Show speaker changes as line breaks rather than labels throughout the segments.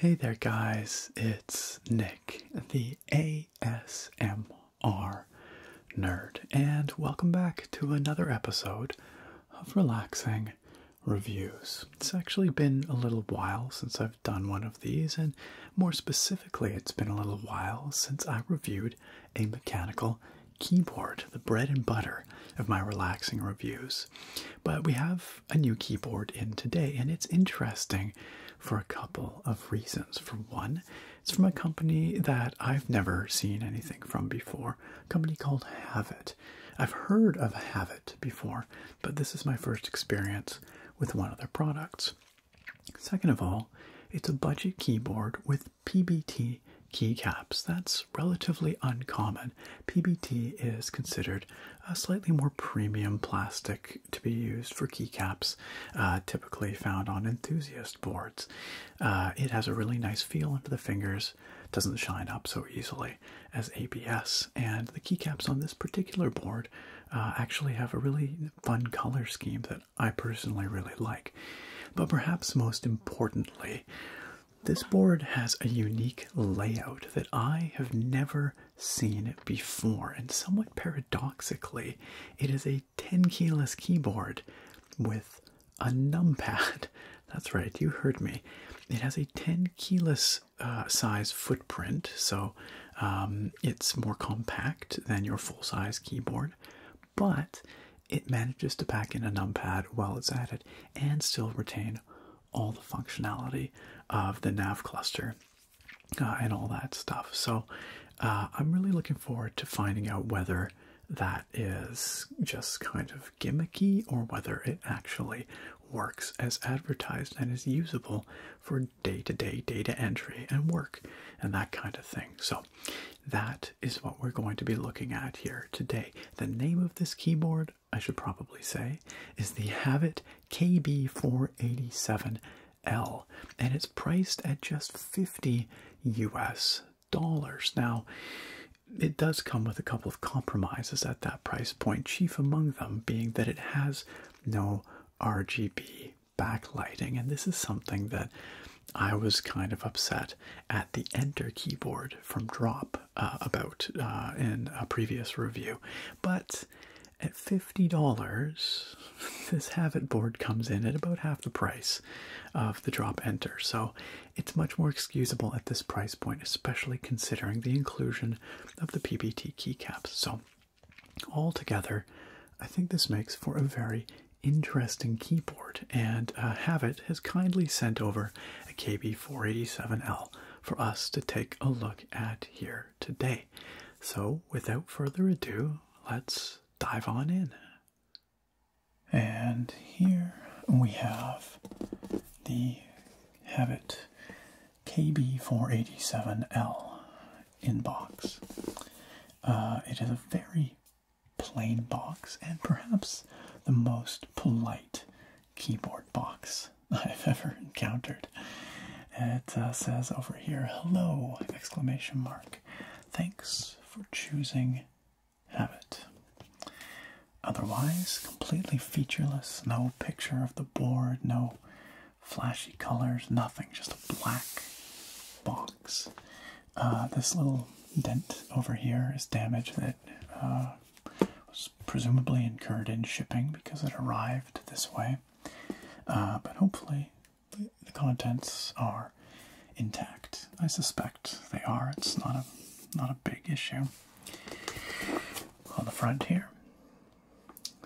Hey there, guys, it's Nick, the ASMR nerd, and welcome back to another episode of Relaxing reviews. It's actually been a little while since I've done one of these, and more specifically, it's been a little while since I reviewed a mechanical keyboard, the bread and butter of my relaxing reviews. But we have a new keyboard in today, and it's interesting for a couple of reasons. For one, it's from a company that I've never seen anything from before, company called Havit. I've heard of Havit before, but this is my first experience with one of their products. Second of all, it's a budget keyboard with PBT keycaps. That's relatively uncommon. PBT is considered a slightly more premium plastic to be used for keycaps, uh, typically found on enthusiast boards. Uh, it has a really nice feel under the fingers course doesn't shine up so easily as ABS. And the keycaps on this particular board uh, actually have a really fun color scheme that I personally really like. But perhaps most importantly, this board has a unique layout that I have never seen before, and somewhat paradoxically, it is a 10 keyless keyboard with a numpad. That's right, you heard me. It has a 10 keyless uh, size footprint, so um, it's more compact than your full size keyboard, but it manages to pack in a numpad while it's at it and still retain all the functionality of the nav cluster uh, and all that stuff. So uh, I'm really looking forward to finding out whether that is just kind of gimmicky or whether it actually works as advertised and is usable for day to day data entry and work and that kind of thing. So, that is what we're going to be looking at here today. The name of this keyboard, I should probably say, is the Havit KB487L and it's priced at just 50 US dollars. Now, it does come with a couple of compromises at that price point, chief among them being that it has no RGB backlighting. And this is something that I was kind of upset at the Enter keyboard from Drop uh, about uh, in a previous review. But at $50, this Habit board comes in at about half the price of the Drop Enter. So it's much more excusable at this price point, especially considering the inclusion of the PBT keycaps. So, all together, I think this makes for a very interesting keyboard, and uh, Havit has kindly sent over a KB487L for us to take a look at here today. So, without further ado, let's dive on in. And here we have the have it KB487L inbox. Uh, it is a very plain box and perhaps the most polite keyboard box I've ever encountered. It uh, says over here, hello, exclamation mark. Thanks for choosing Habit. Otherwise, completely featureless. No picture of the board, no flashy colors, nothing. Just a black box. Uh, this little dent over here is damage that uh, was presumably incurred in shipping because it arrived this way. Uh, but hopefully, the, the contents are intact. I suspect they are. It's not a not a big issue on the front here.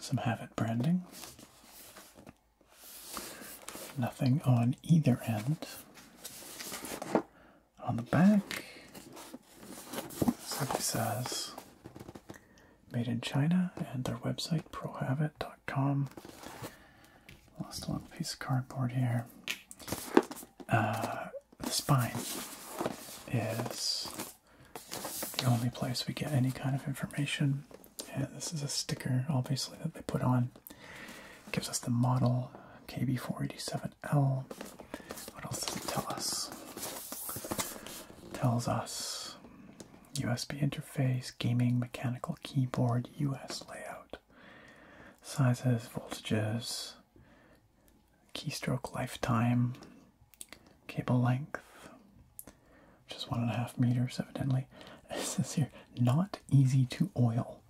Some Havit branding. Nothing on either end. On the back, simply says made in China and their website prohabit.com. Last little piece of cardboard here. Uh, the spine is the only place we get any kind of information. And this is a sticker, obviously, that they put on. gives us the model KB487L. What else does it tell us? tells us USB interface, gaming mechanical keyboard, US layout, sizes, voltages, keystroke lifetime, cable length, which is one and a half meters, evidently. It says here, not easy to oil.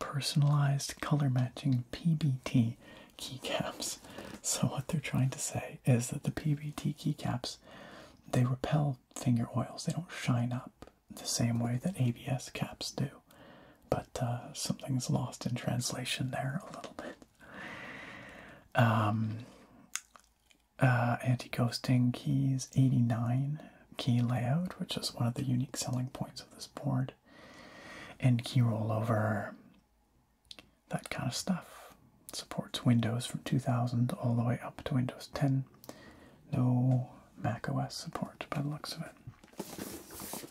Personalized color matching PBT keycaps. So what they're trying to say is that the PBT keycaps, they repel finger oils. They don't shine up the same way that ABS caps do. But uh, something's lost in translation there a little bit. Um, uh, anti-ghosting keys 89 key layout, which is one of the unique selling points of this board, and key rollover, that kind of stuff. supports Windows from 2000 all the way up to Windows 10. No Mac OS support by the looks of it.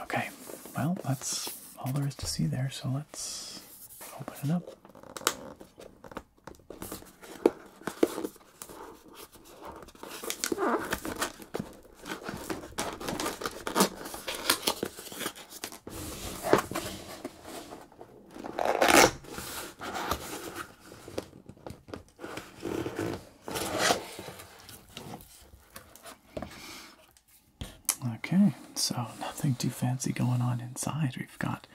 Okay, well, that's all there is to see there, so let's open it up. Okay, so nothing too fancy going on inside. We've got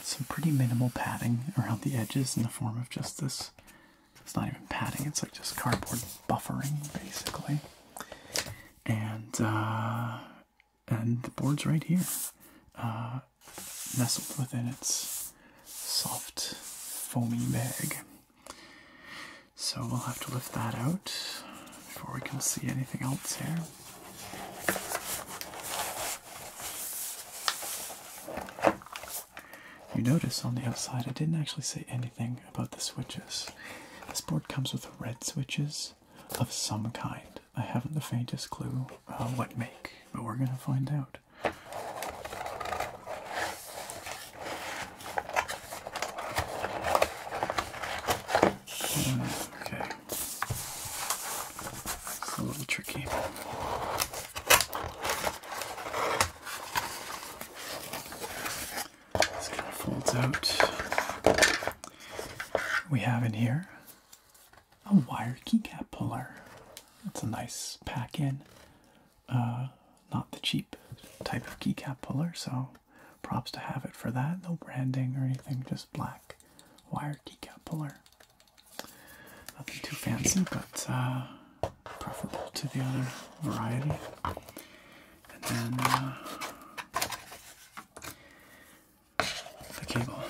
some pretty minimal padding around the edges in the form of just this. It's not even padding, it's like just cardboard buffering, basically. And, uh, and the board's right here, uh, nestled within its soft, foamy bag. So we'll have to lift that out before we can see anything else here. You notice on the outside I didn't actually say anything about the switches. This board comes with red switches of some kind. I haven't the faintest clue uh, what make, but we're going to find out. Okay. It's a little tricky. This kind of folds out. We have in here a wire keycap puller. That's a nice pack in. Uh, not the cheap type of keycap puller, so Props to have it for that. No branding or anything, just black wire keycap puller. Nothing too fancy, but uh, preferable to the other variety. And then uh, the cable.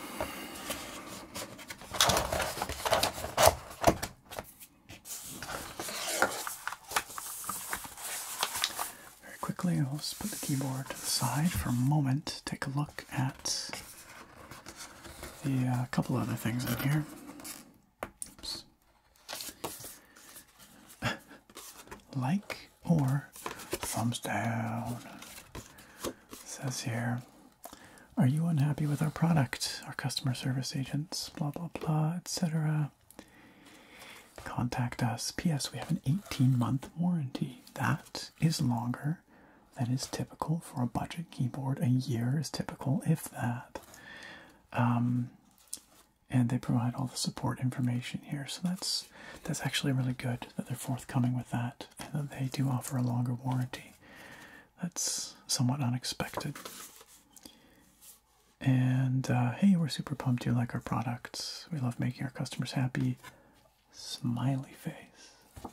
Very quickly, I'll just put the keyboard to the side for a moment, take a look at a uh, couple other things in here. like or thumbs down. says here, are you unhappy with our product? Our customer service agents, blah blah blah, etc. Contact us. P.S. We have an 18 month warranty. That is longer than is typical for a budget keyboard. A year is typical, if that. Um, and they provide all the support information here, so that's that's actually really good that they're forthcoming with that, and that they do offer a longer warranty. That's somewhat unexpected. And uh, hey, we're super pumped you like our products. We love making our customers happy. Smiley face.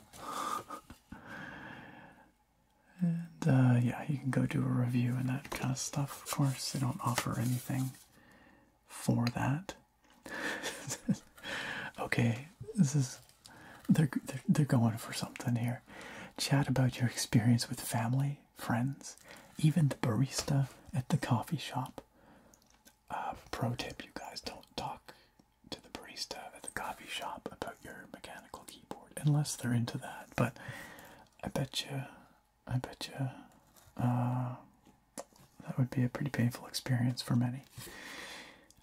and
uh, yeah, you can go do a review and that kind of stuff. Of course, they don't offer anything for that. okay, this is they're they're going for something here. Chat about your experience with family friends, even the barista at the coffee shop. Uh, pro tip you guys don't talk to the barista at the coffee shop about your mechanical keyboard unless they're into that. But I bet you, I bet you, uh, that would be a pretty painful experience for many.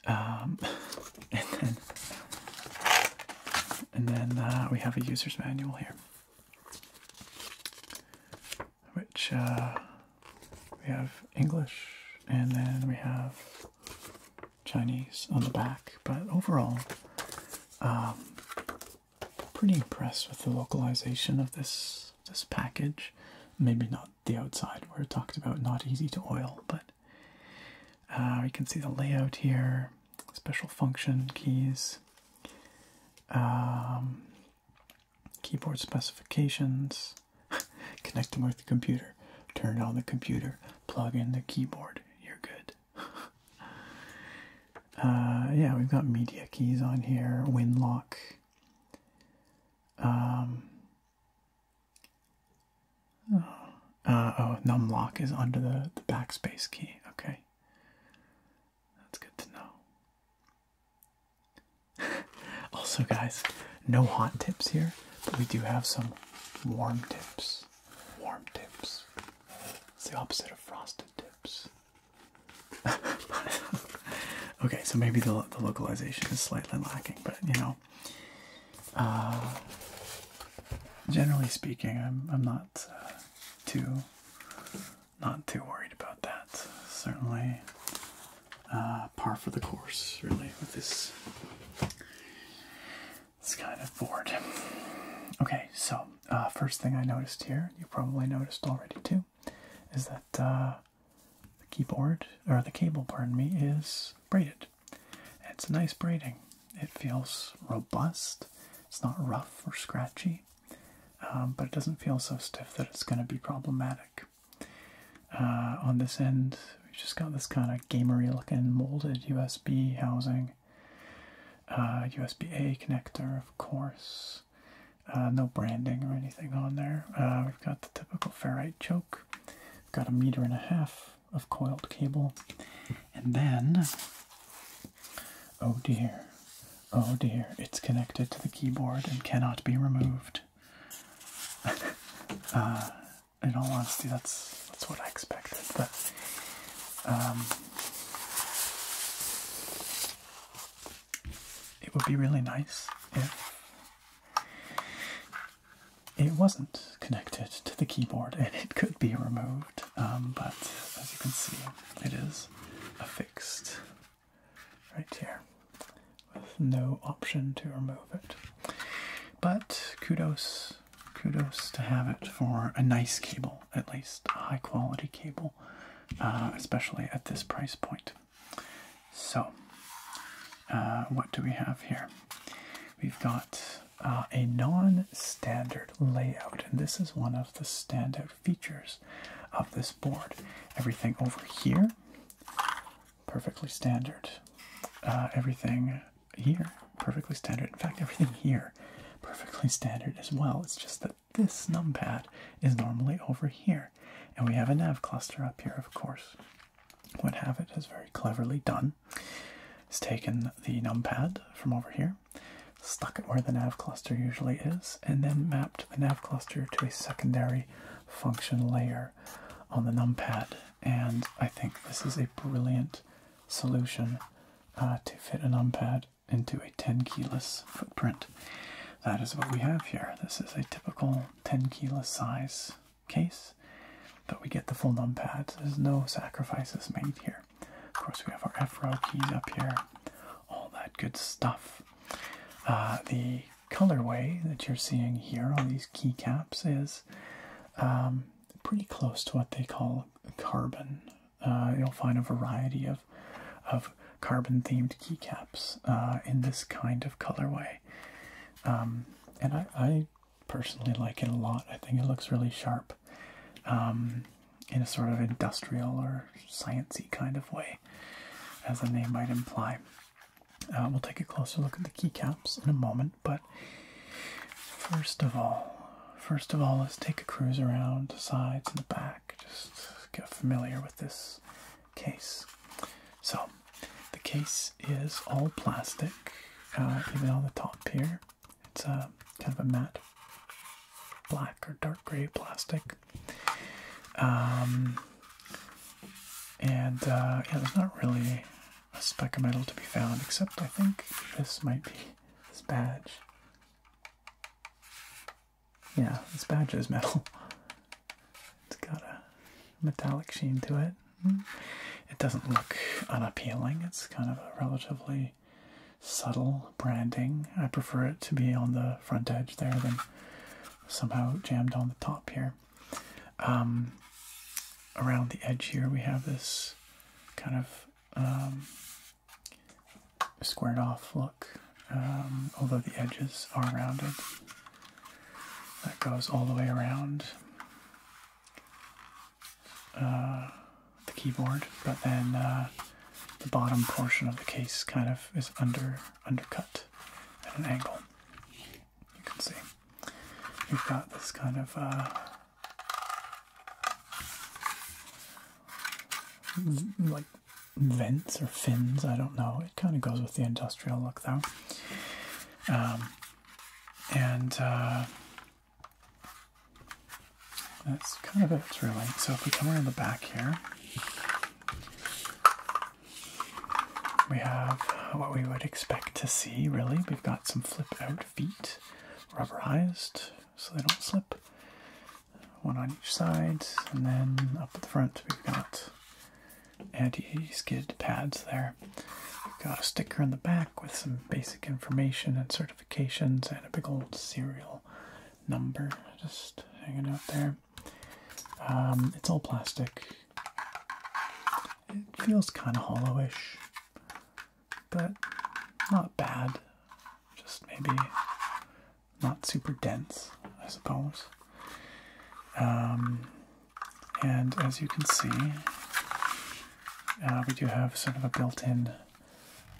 Um, and then, and then uh, we have a user's manual here which uh, we have English and then we have Chinese on the back. But overall, um, pretty impressed with the localization of this this package. Maybe not the outside where it talked about not easy to oil, but uh, we can see the layout here special function keys, um, keyboard specifications, connect them with the computer, turn on the computer, plug in the keyboard, you're good. Uh, yeah, we've got media keys on here, Win lock. Um, uh, oh, oh, num lock is under the, the backspace key. Okay. That's good to know. also, guys, no hot tips here, but we do have some warm tips. Warm tips. It's the opposite of frosted tips. okay, so maybe the, the localization is slightly lacking, but you know, uh, generally speaking, I'm I'm not uh, too not too worried about that. Certainly uh, par for the course, really, with this. It's kind of board. Okay, so uh, first thing I noticed here, you probably noticed already too, is that uh, the keyboard or the cable, pardon me, is braided. It's a nice braiding. It feels robust. It's not rough or scratchy. Um, but it doesn't feel so stiff that it's going to be problematic. Uh, on this end, we've just got this kind of gamery looking molded USB housing. USB uh, A connector, of course. Uh, no branding or anything on there. we've got the typical ferrite choke. We've got a meter and a half of coiled cable. And then, oh dear, Oh dear, it's connected to the keyboard and cannot be removed. Uh, in all honesty, that's that's what I expected, but um, it would be really nice if it wasn't connected to the keyboard and it could be removed. Um, but as you can see, it is affixed right here with no option to remove it. But kudos, kudos to have it for a nice cable, at least a high quality cable, uh, especially at this price point. So, uh, what do we have here? We've got uh, a non standard layout, and this is one of the standout features of this board. Everything over here, perfectly standard. Uh, everything here, perfectly standard. In fact, everything here, perfectly standard as well. It's just that this numpad is normally over here. And we have a nav cluster up here, of course. What Havit has very cleverly done It's taken the numpad from over here stuck it where the nav cluster usually is, and then mapped the nav cluster to a secondary function layer on the numpad. And I think this is a brilliant solution uh, to fit a numpad into a 10 keyless footprint. That is what we have here. This is a typical 10 keyless size case, but we get the full numpad. There's no sacrifices made here. Of course, we have our F row keys up here, all that good stuff. Uh, the colorway that you're seeing here on these keycaps is um, pretty close to what they call carbon. Uh, you'll find a variety of of carbon themed keycaps uh, in this kind of colorway. Um, and I, personally like it a lot. I think it looks really sharp. Um, in a sort of industrial or sciency kind of way, as the name might imply. Uh, we'll take a closer look at the keycaps in a moment, but first of all, first of all, let's take a cruise around the sides and the back, just get familiar with this case. So, the case is all plastic, uh, even on the top here. It's a uh, kind of a matte black or dark gray plastic um, and uh, yeah, there's not really a speck of metal to be found, except I think this might be this badge. Yeah, this badge is metal. It's got a metallic sheen to it. Hmm. It doesn't look unappealing. It's kind of a relatively subtle branding. I prefer it to be on the front edge there than somehow jammed on the top here. Um, around the edge here, we have this kind of um, squared off look, um, although the edges are rounded. That goes all the way around uh, the keyboard, but then uh, the bottom portion of the case kind of is under undercut at an angle. You can see we have got this kind of uh, like vents or fins. I don't know. It kind of goes with the industrial look though. Um, and uh, that's kind of it, really. So if we come around the back here, we have what we would expect to see, really. We've got some flip-out feet, rubberized, so they don't slip. One on each side, and then up at the front we've got anti-skid pads there. We've got a sticker in the back with some basic information and certifications and a big old serial number just hanging out there. Um, it's all plastic. It feels kind of hollowish, but not bad. Just maybe not super dense, I suppose. Um, and as you can see, uh, we do have sort of a built-in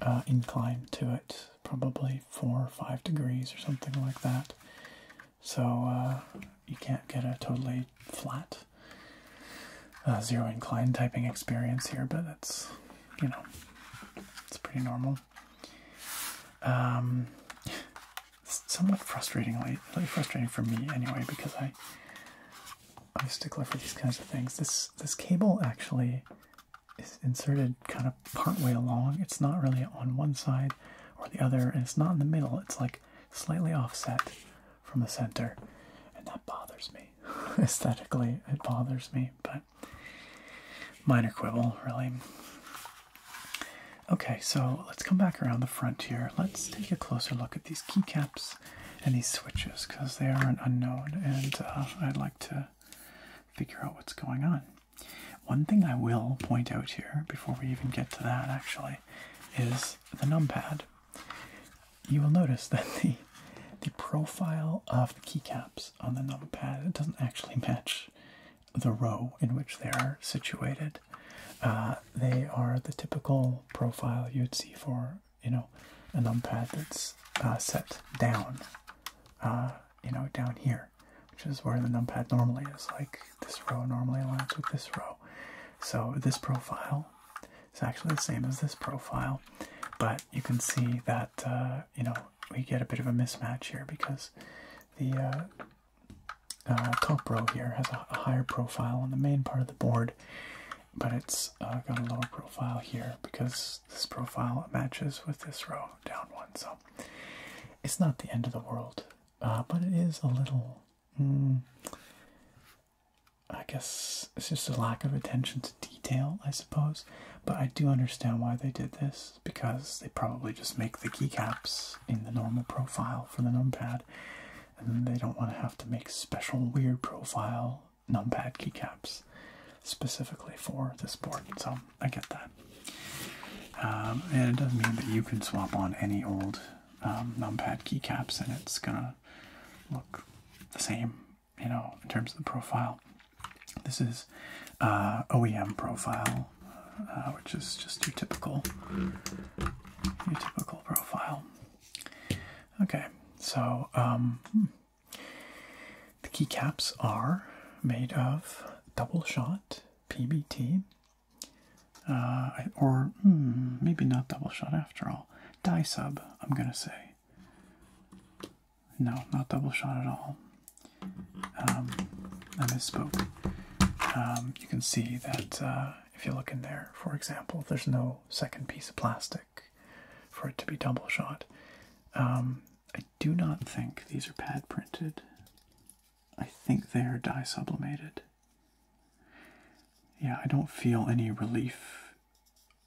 uh, incline to it probably four or five degrees or something like that. So uh, you can't get a totally flat uh, zero incline typing experience here, but it's you know it's pretty normal. Um, somewhat frustratingly, frustrating for me anyway, because I I'm a stickler for these kinds of things. This this cable actually is inserted kind of partway along. It's not really on one side or the other, and it's not in the middle. It's like slightly offset from the center, and that bothers me. Aesthetically, it bothers me, but minor quibble, really. Okay, so let's come back around the front here. Let's take a closer look at these keycaps and these switches because they are an unknown, and uh, I'd like to figure out what's going on. One thing I will point out here before we even get to that actually is the numpad. You will notice that the the profile of the keycaps on the numpad doesn't actually match the row in which they are situated. Uh, they are the typical profile you'd see for you know a numpad that's uh, set down, uh, you know down here which is where the numpad normally is. Like this row normally aligns with this row. So this profile is actually the same as this profile, but you can see that uh, you know we get a bit of a mismatch here because the uh, uh, top row here has a, higher profile on the main part of the board, but it's got a lower profile here because this profile matches with this row down one. So it's not the end of the world, uh, but it is a little. Hmm, I guess it's just a lack of attention to detail, I suppose. But I do understand why they did this because they probably just make the keycaps in the normal profile for the numpad, and they don't want to have to make special weird profile numpad keycaps specifically for this board. So I get that. Um, and it doesn't mean that you can swap on any old um, numpad keycaps and it's gonna look the same, you know, in terms of the profile. This is uh, OEM profile, uh, which is just your typical, your typical profile. Okay, so um, hmm. The keycaps are made of double shot PBT, uh, or hmm, maybe not double shot after all. Die sub, I'm gonna say. No, not double shot at all. Um, I misspoke. Um, you can see that uh, if you look in there, for example, there's no second piece of plastic for it to be double shot. Um, do not think these are pad printed. I think they are dye sublimated. Yeah, I don't feel any relief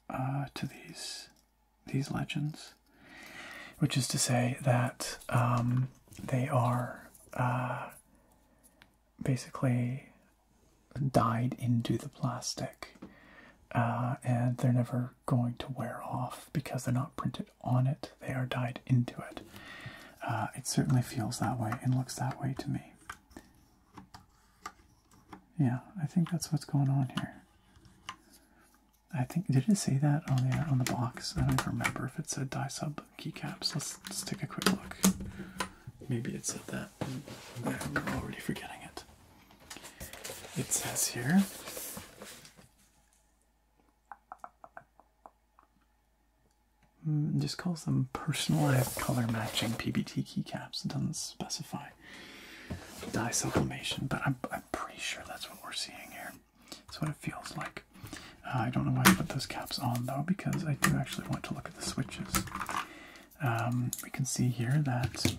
uh, to these these legends, which is to say that um, they are uh, basically dyed into the plastic, uh, and they're never going to wear off because they're not printed on it, they are dyed into it. Uh, it certainly feels that way and looks that way to me. Yeah, I think that's what's going on here. I think did it say that on the on the box? I don't remember if it said die sub keycaps. Let's, let's take a quick look. Maybe it said that. I'm already forgetting it. It says here Hmm, just calls them personalized color matching PBT keycaps. It doesn't specify die sublimation, but I'm, pretty sure that's what we're seeing here. That's what it feels like. Uh, I don't know why I put those caps on though, because I do actually want to look at the switches. Um, we can see here that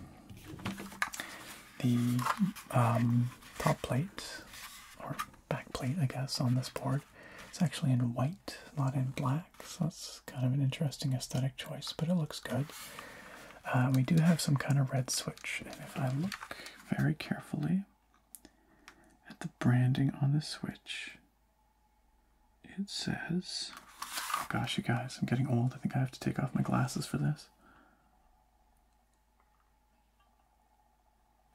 the um, top plate or back plate, I guess, on this board. It's actually in white, not in black, so that's kind of an interesting aesthetic choice, but it looks good. Uh, we do have some kind of red switch, and if I look very carefully at the branding on the switch, it says, oh gosh, you guys, I'm getting old. I think I have to take off my glasses for this.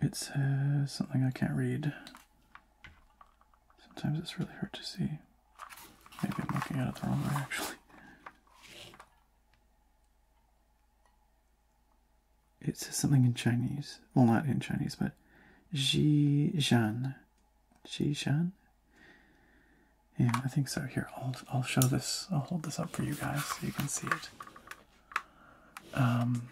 It says something I can't read. Sometimes it's really hard to see. Maybe I'm looking at it the wrong way actually. It says something in Chinese. Well, not in Chinese, but Zhejiang. Zhejiang? Yeah, I think so. Here, I'll, I'll show this. I'll hold this up for you guys so you can see it. Um,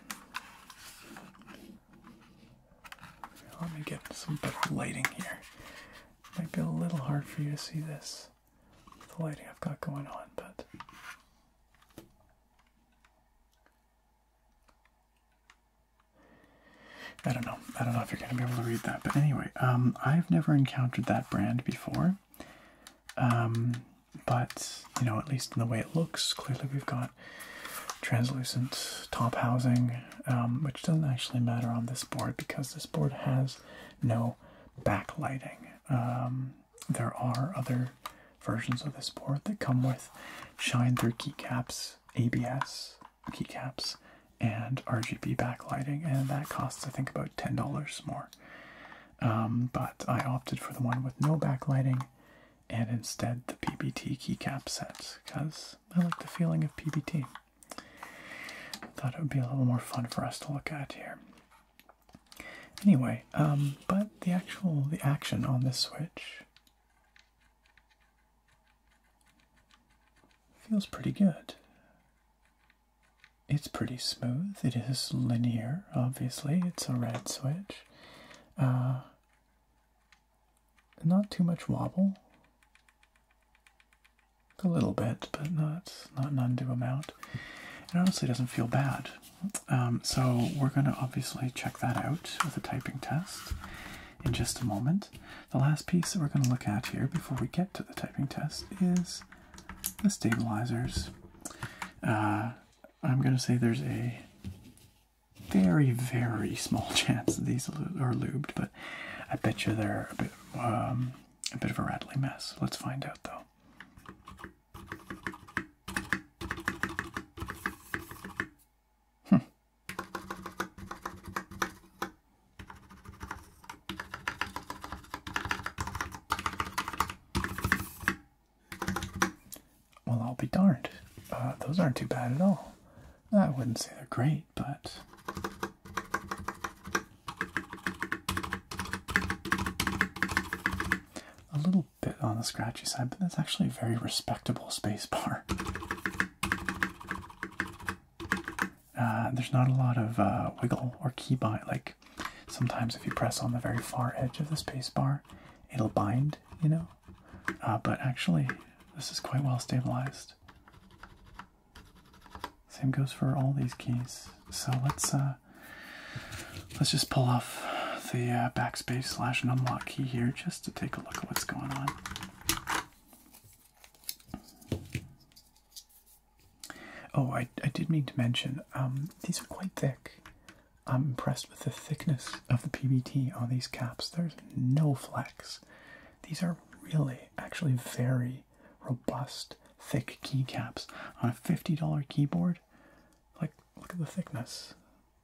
let me get some better lighting here. Might be a little hard for you to see this, the lighting I've got going on, but. I don't know. I don't know if you're going to be able to read that, but anyway, um, I've never encountered that brand before. Um, but you know, at least in the way it looks, clearly we've got translucent top housing, um, which doesn't actually matter on this board because this board has no backlighting. Um, there are other versions of this board that come with shine through keycaps, ABS keycaps, and RGB backlighting, and that costs I think about ten dollars more. Um, but I opted for the one with no backlighting and instead the PBT keycap set because I like the feeling of PBT. I thought it would be a little more fun for us to look at here. Anyway, um, but the actual the action on this switch feels pretty good it's pretty smooth. It is linear, obviously. It's a red switch. Uh, not too much wobble. A little bit, but not not an undue amount. It honestly doesn't feel bad. Um, so we're going to obviously check that out with a typing test in just a moment. The last piece that we're going to look at here before we get to the typing test is the stabilizers. Uh, I'm gonna say there's a very, very small chance these are lubed, but I bet you they're a bit, um, a bit of a rattly mess. Let's find out though. Well, I'll be darned. Uh, those aren't too bad at all. I wouldn't say they're great, but. A little bit on the scratchy side, but that's actually a very respectable space bar. Uh, there's not a lot of uh, wiggle or key bind, like sometimes if you press on the very far edge of the spacebar, it'll bind, you know. Uh, but actually, this is quite well stabilized. Same goes for all these keys. So let's uh, let's just pull off the uh, backspace slash and unlock key here just to take a look at what's going on. Oh, I, did mean to mention, um, these are quite thick. I'm impressed with the thickness of the PBT on these caps. There's no flex. These are really, actually, very robust, thick keycaps on a $50 keyboard. Like, look at the thickness.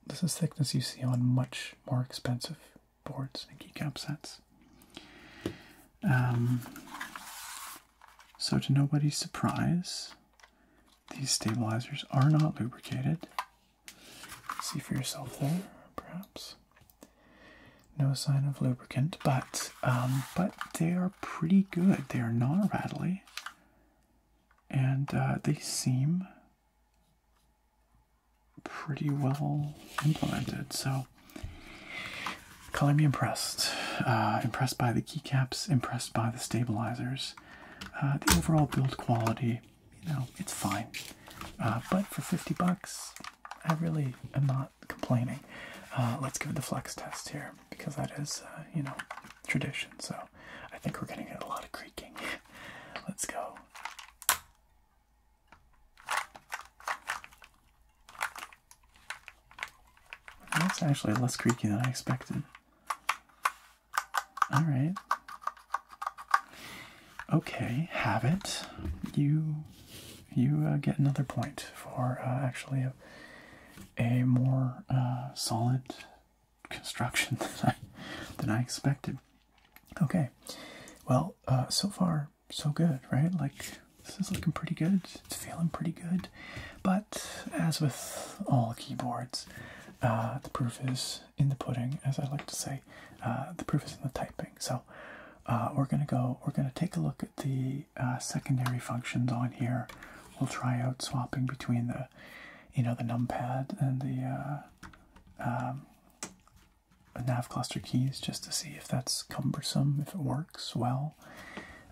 This is thickness you see on much more expensive boards and keycap sets. Um, so, to nobody's surprise, these stabilizers are not lubricated. See for yourself there, perhaps. No sign of lubricant, but um, but they are pretty good. They are not rattly, and uh, they seem pretty well implemented. So, color me impressed. Uh, impressed by the keycaps impressed by the stabilizers. Uh, the overall build quality, you know, it's fine. Uh, but for 50 bucks, I really am not complaining. Uh, let's give it the flex test here because that is, you know, tradition. So I think we're going to get a lot of creaking. let's go. That's actually less creaky than I expected. All right. Okay, have it. You you uh, get another point for uh, actually a, more uh, solid construction than I expected. Okay, well, so far so good, right? Like this is looking pretty good. It's feeling pretty good. But as with all keyboards, uh, the proof is in the pudding, as I like to say. Uh, the proof is in the typing. So uh, we're gonna go. We're gonna take a look at the secondary functions on here. We'll try out swapping between the, you know, the numpad and the um, nav cluster keys just to see if that's cumbersome, if it works well,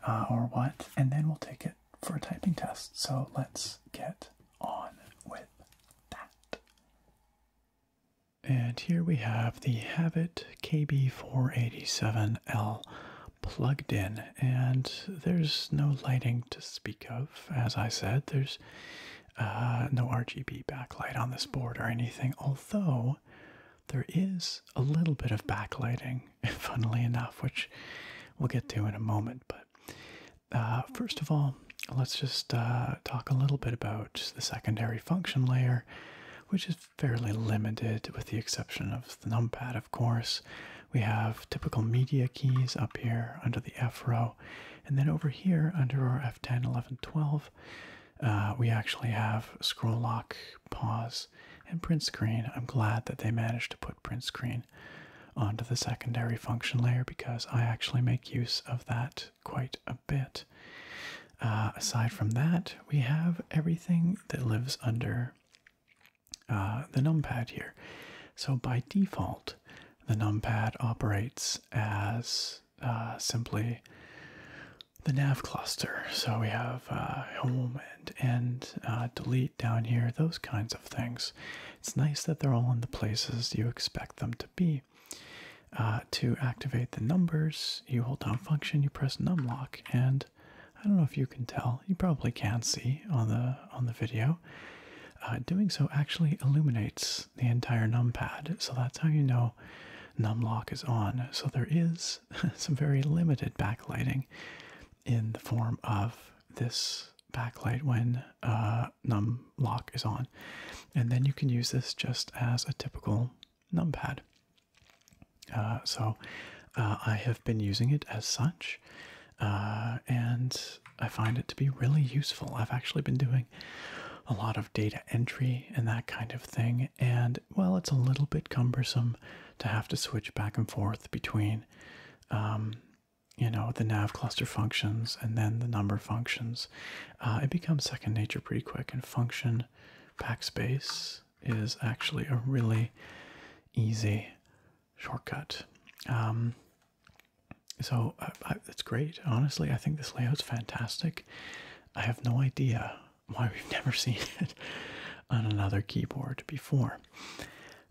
or what. And then we'll take it for a typing test. So let's get on with that. And here we have the Havit KB487L plugged in, and there's no lighting to speak of. As I said, there's uh, no RGB backlight on this board or anything, although there is a little bit of backlighting funnily enough, which we'll get to in a moment. But uh, first of all, let's just uh, talk a little bit about the secondary function layer, which is fairly limited with the exception of the numpad, of course. We have typical media keys up here under the F row, and then over here under our F10, 11, 12, uh, we actually have scroll lock pause and print screen. I'm glad that they managed to put print screen onto the secondary function layer because I actually make use of that quite a bit. Uh, aside from that, we have everything that lives under uh, the numpad here. So by default, the numpad operates as uh, simply the nav cluster. So we have uh, home and uh, delete down here, those kinds of things. It's nice that they're all in the places you expect them to be. Uh, to activate the numbers, you hold down function, you press Num Lock, and I don't know if you can tell, you probably can see on the on the video. Uh, doing so actually illuminates the entire Num Pad, so that's how you know Num Lock is on. So there is some very limited backlighting in the form of this backlight when uh, num lock is on. And then you can use this just as a typical numpad. Uh, so uh, I have been using it as such, uh, and I find it to be really useful. I've actually been doing a lot of data entry and that kind of thing, and well, it's a little bit cumbersome to have to switch back and forth between um, you know, the nav cluster functions and then the number functions, uh, it becomes second nature pretty quick. And function pack space is actually a really easy shortcut. Um, so I, it's great. Honestly, I think this layout's fantastic. I have no idea why we've never seen it on another keyboard before.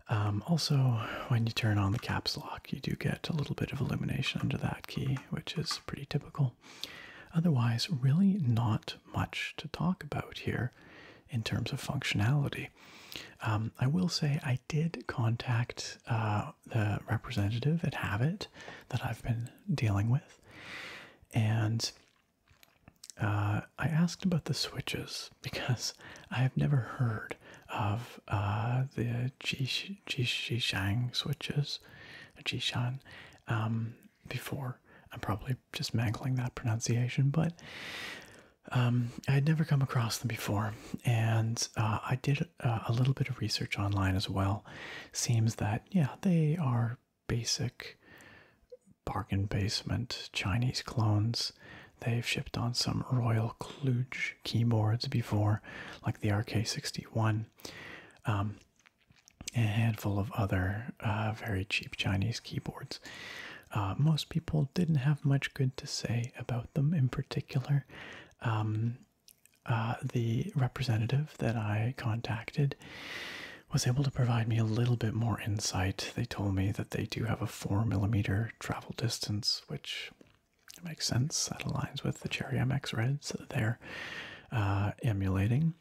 Um, also, when you turn on the caps lock, you do get a little bit of illumination under that key, which is pretty typical. Otherwise, really not much to talk about here in terms of functionality. Um, I will say I did contact uh, the representative at Habit that I've been dealing with, and uh, I asked about the switches because I have never heard of uh, the Jish Jishang switches, Jishan, um, before. I'm probably just mangling that pronunciation, but um, I had never come across them before, and uh, I did uh, a little bit of research online as well. Seems that yeah, they are basic bargain basement Chinese clones. They've shipped on some Royal Kluge keyboards before, like the RK61, um, a handful of other uh, very cheap Chinese keyboards. Uh, most people didn't have much good to say about them in particular. Um, uh, the representative that I contacted was able to provide me a little bit more insight. They told me that they do have a. 4 millimeter travel distance, which makes sense. That aligns with the Cherry MX Reds they're uh, emulating.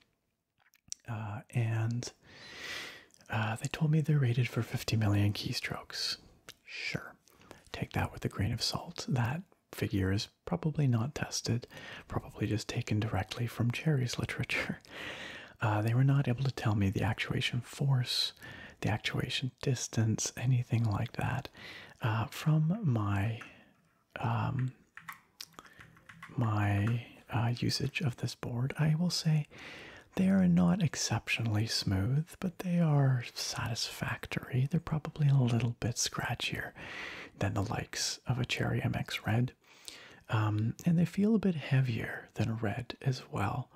Uh, and uh, they told me they're rated for 50 million keystrokes. Sure. Take that with a grain of salt. That figure is probably not tested, probably just taken directly from Cherry's literature. they were not able to tell me the actuation force the actuation distance, anything like that, uh, from my um, my uh, usage of this board, I will say they are not exceptionally smooth, but they are satisfactory. They're probably a little bit scratchier than the likes of a Cherry MX Red. Um, and they feel a bit heavier than red as well.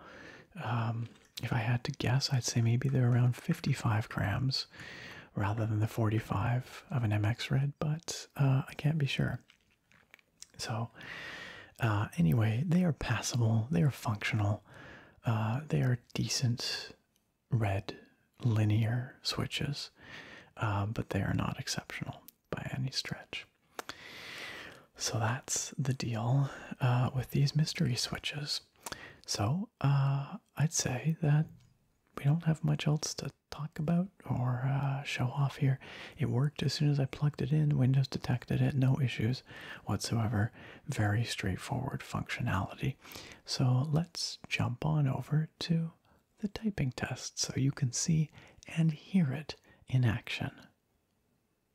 Um, if I had to guess, I'd say maybe they're around 55 grams rather than the 45 of an MX Red, but uh, I can't be sure. So, uh, anyway, they are passable, they are functional, uh, they are decent red linear switches, but they are not exceptional by any stretch. So that's the deal uh, with these mystery switches. So uh, I'd say that we don't have much else to talk about or uh, show off here. It worked as soon as I plugged it in. Windows detected it, no issues whatsoever. Very straightforward functionality. So let's jump on over to the typing test so you can see and hear it in action.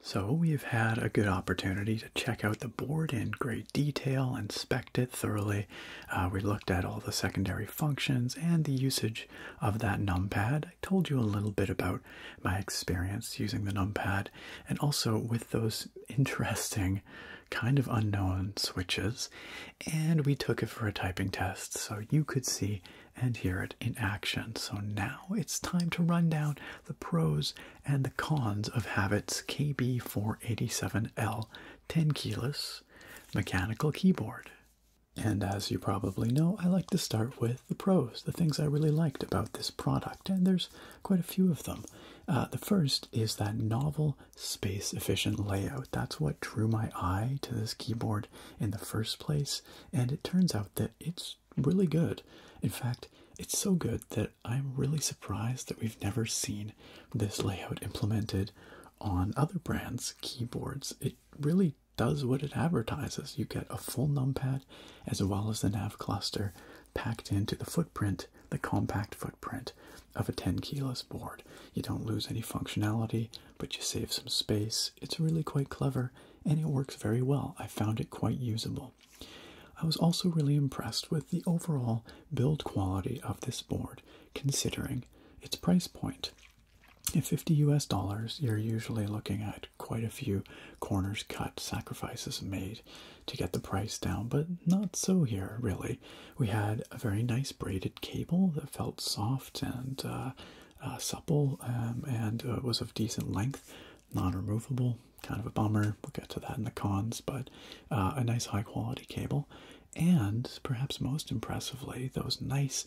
So we've had a good opportunity to check out the board in great detail, inspect it thoroughly. Uh, we looked at all the secondary functions and the usage of that numpad. I told you a little bit about my experience using the numpad and also with those interesting, kind of unknown switches. And we took it for a typing test so you could see and hear it in action. So now it's time to run down the pros and the cons of Habit's KB487L 10 keyless mechanical keyboard. And as you probably know, I like to start with the pros, the things I really liked about this product, and there's quite a few of them. Uh, the first is that novel, space efficient layout. That's what drew my eye to this keyboard in the first place, and it turns out that it's really good. In fact, it's so good that I'm really surprised that we've never seen this layout implemented on other brands' keyboards. It really does what it advertises. You get a full numpad as well as the nav cluster packed into the footprint, the compact footprint of a 10 kilos board. You don't lose any functionality, but you save some space. It's really quite clever and it works very well. I found it quite usable. I was also really impressed with the overall build quality of this board, considering its price point. At 50 US dollars, you're usually looking at quite a few corners cut, sacrifices made to get the price down, but not so here, really. We had a very nice braided cable that felt soft and uh, uh, supple um, and uh, was of decent length, non removable, kind of a bummer. We'll get to that in the cons, but a nice high quality cable. And perhaps most impressively, those nice,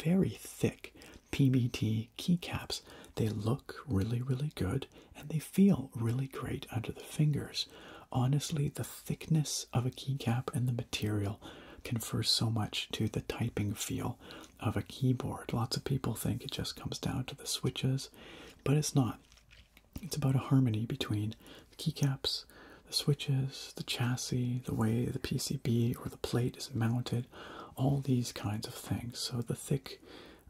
very thick PBT keycaps. They look really, really good and they feel really great under the fingers. Honestly, the thickness of a keycap and the material confers so much to the typing feel of a keyboard. Lots of people think it just comes down to the switches, but it's not. It's about a harmony between the keycaps, the switches, the chassis, the way the PCB or the plate is mounted all these kinds of things. So the thick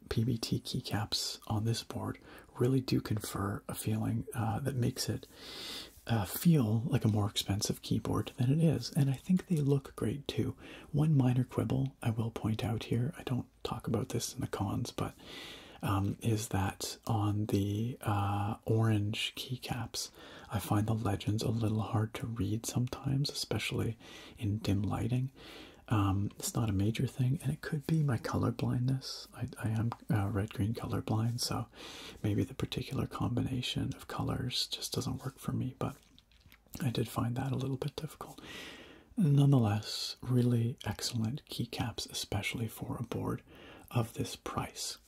PBT keycaps on this board really do confer a feeling uh, that makes it uh, feel like a more expensive keyboard than it is. And I think they look great too. One minor quibble I will point out here, I don't talk about this in the cons, but um, is that on the uh, orange keycaps, I find the legends a little hard to read sometimes, especially in dim lighting. Um, it's not a major thing, and it could be my color blindness. I, am uh, red green color blind, so maybe the particular combination of colors just doesn't work for me. But I did find that a little bit difficult. Nonetheless, really excellent keycaps, especially for a board of this price.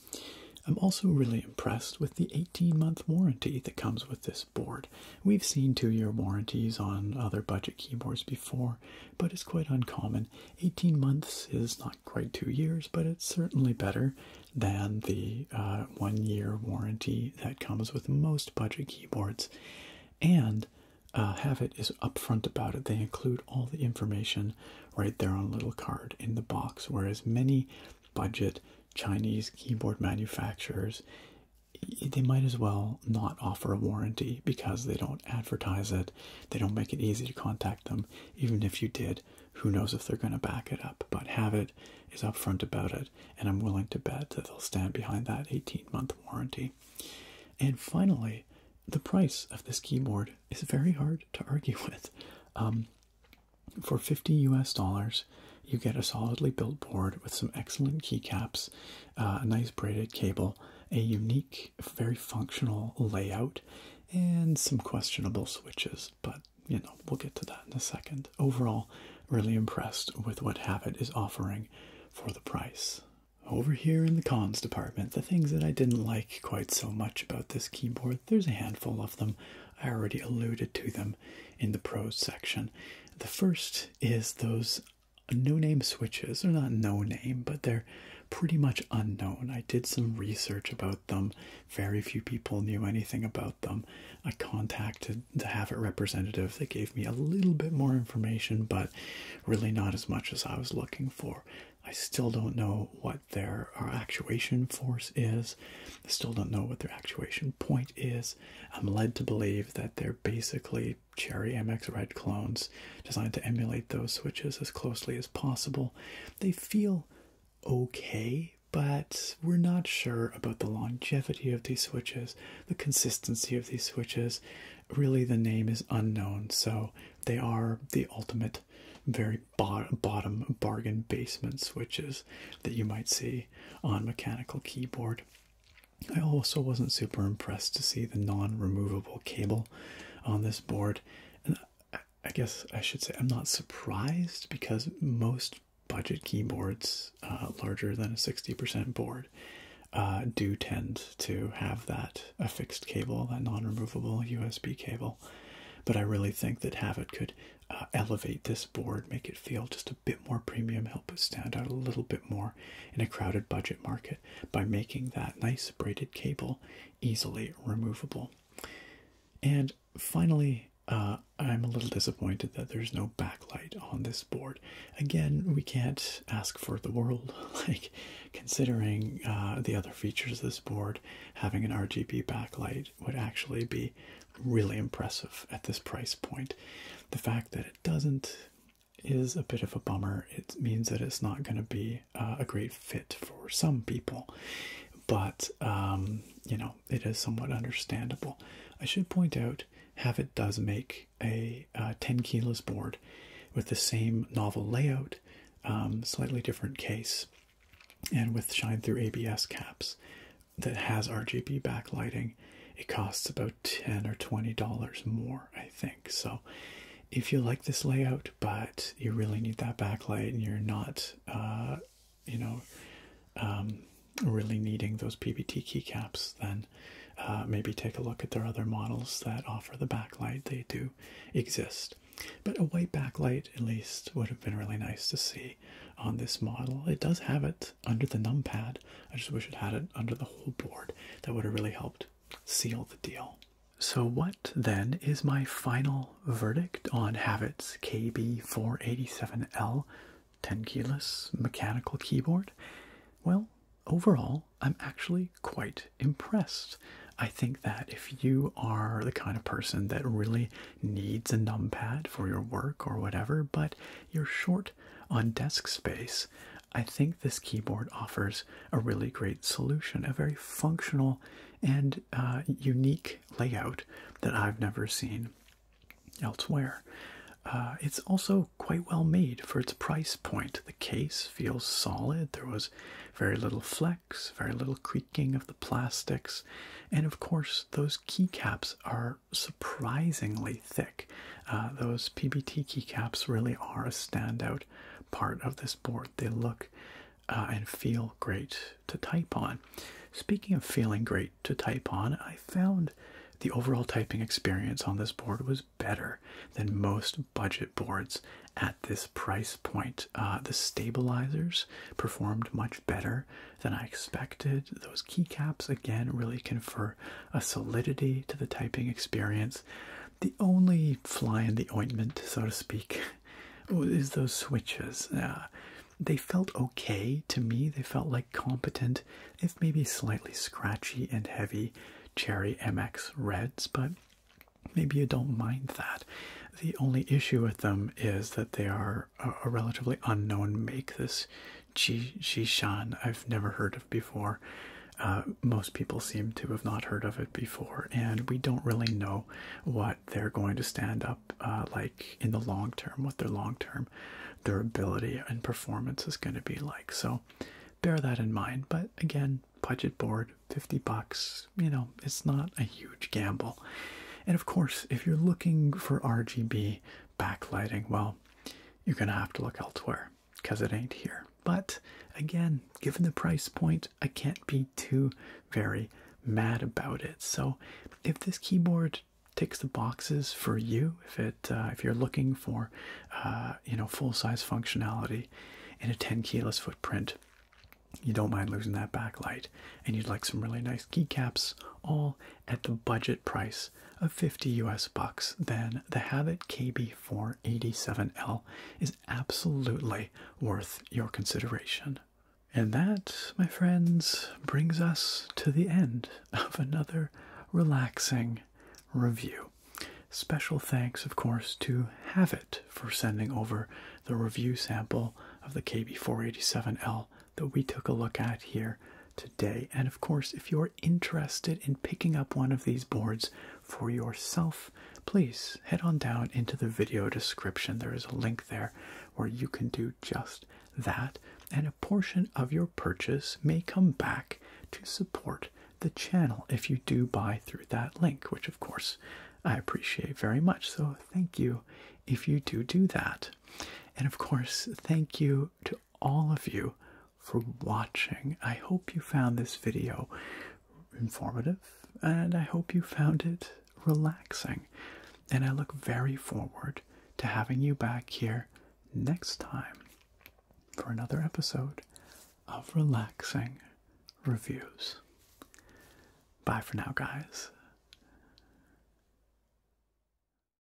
I'm also really impressed with the 18 month warranty that comes with this board. We've seen two year warranties on other budget keyboards before, but it's quite uncommon. 18 months is not quite two years, but it's certainly better than the uh, one year warranty that comes with most budget keyboards. And uh, Havit is upfront about it. They include all the information right there on a little card in the box, whereas many budget Chinese keyboard manufacturers, they might as well not offer a warranty because they don't advertise it, they don't make it easy to contact them. Even if you did, who knows if they're going to back it up? But Habit is upfront about it, and I'm willing to bet that they'll stand behind that 18 month warranty. And finally, the price of this keyboard is very hard to argue with. Um, for 50 US dollars, you get a solidly built board with some excellent keycaps, uh, a nice braided cable, a unique, very functional layout, and some questionable switches. But you know, we'll get to that in a second. Overall, really impressed with what Habit is offering for the price. Over here in the cons department, the things that I didn't like quite so much about this keyboard, there's a handful of them. I already alluded to them in the pros section. The first is those no name switches. They're not no name, but they're pretty much unknown. I did some research about them, very few people knew anything about them. I contacted the Havit representative, they gave me a little bit more information, but really not as much as I was looking for. I still don't know what their uh, actuation force is. I still don't know what their actuation point is. I'm led to believe that they're basically Cherry MX Red clones designed to emulate those switches as closely as possible. They feel okay, but we're not sure about the longevity of these switches, the consistency of these switches. Really, the name is unknown, so they are the ultimate, very bottom bargain basement switches that you might see on mechanical keyboard. I also wasn't super impressed to see the non-removable cable on this board, and I guess I should say I'm not surprised because most budget keyboards uh, larger than a 60% board uh, do tend to have that affixed cable, that non-removable USB cable. But I really think that Havit could uh, elevate this board, make it feel just a bit more premium, help it stand out a little bit more in a crowded budget market by making that nice braided cable easily removable. And finally, uh, I'm a little disappointed that there's no backlight on this board. Again, we can't ask for the world, like considering uh, the other features of this board, having an RGB backlight would actually be really impressive at this price point. The fact that it doesn't is a bit of a bummer. It means that it's not going to be uh, a great fit for some people, but um, you know, it is somewhat understandable. I should point out have it does make a uh, 10 kilos board with the same novel layout, um, slightly different case, and with shine through ABS caps that has RGB backlighting, it costs about 10 or 20 dollars more, I think. So if you like this layout but you really need that backlight and you're not uh, you know um, really needing those PBT keycaps, then uh, maybe take a look at their other models that offer the backlight. They do exist. But a white backlight, at least, would have been really nice to see on this model. It does have it under the numpad. I just wish it had it under the whole board. That would have really helped seal the deal. So what then is my final verdict on Havit's KB487L 10 keyless mechanical keyboard? Well, overall, I'm actually quite impressed. I think that if you are the kind of person that really needs a numpad for your work or whatever, but you're short on desk space, I think this keyboard offers a really great solution, a very functional and uh, unique layout that I've never seen elsewhere. Uh, it's also quite well made for its price point. The case feels solid. There was very little flex, very little creaking of the plastics, and of course, those keycaps are surprisingly thick. Uh, those PBT keycaps really are a standout part of this board. They look uh, and feel great to type on. Speaking of feeling great to type on, I found the overall typing experience on this board was better than most budget boards at this price point. Uh, the stabilizers performed much better than I expected. Those keycaps again really confer a solidity to the typing experience. The only fly in the ointment, so to speak, oh, is those switches. Uh, they felt okay to me. They felt like competent, if maybe slightly scratchy and heavy, Cherry MX Reds, but maybe you don't mind that. The only issue with them is that they are a, relatively unknown make. This Jishan I've never heard of before. Uh, most people seem to have not heard of it before, and we don't really know what they're going to stand up uh, like in the long term, what their long term durability and performance is going to be like. So bear that in mind. But again, budget board, 50 bucks, you know, it's not a huge gamble. And of course, if you're looking for RGB backlighting, well, you're going to have to look elsewhere because it ain't here. But again, given the price point, I can't be too very mad about it. So if this keyboard ticks the boxes for you, if it uh, if you're looking for uh, you know full-size functionality in a 10 keyless footprint, you don't mind losing that backlight, and you'd like some really nice keycaps, all at the budget price of 50 US bucks, then the Habit KB487L is absolutely worth your consideration. And that, my friends, brings us to the end of another relaxing review. Special thanks, of course, to Havit for sending over the review sample of the KB487L that we took a look at here today. And of course, if you're interested in picking up one of these boards for yourself, please head on down into the video description. There is a link there where you can do just that, and a portion of your purchase may come back to support the channel if you do buy through that link, which of course I appreciate very much. So, thank you if you do do that. And of course, thank you to all of you for watching. I hope you found this video informative and I hope you found it relaxing. And I look very forward to having you back here next time for another episode of Relaxing Reviews. Bye for now, guys.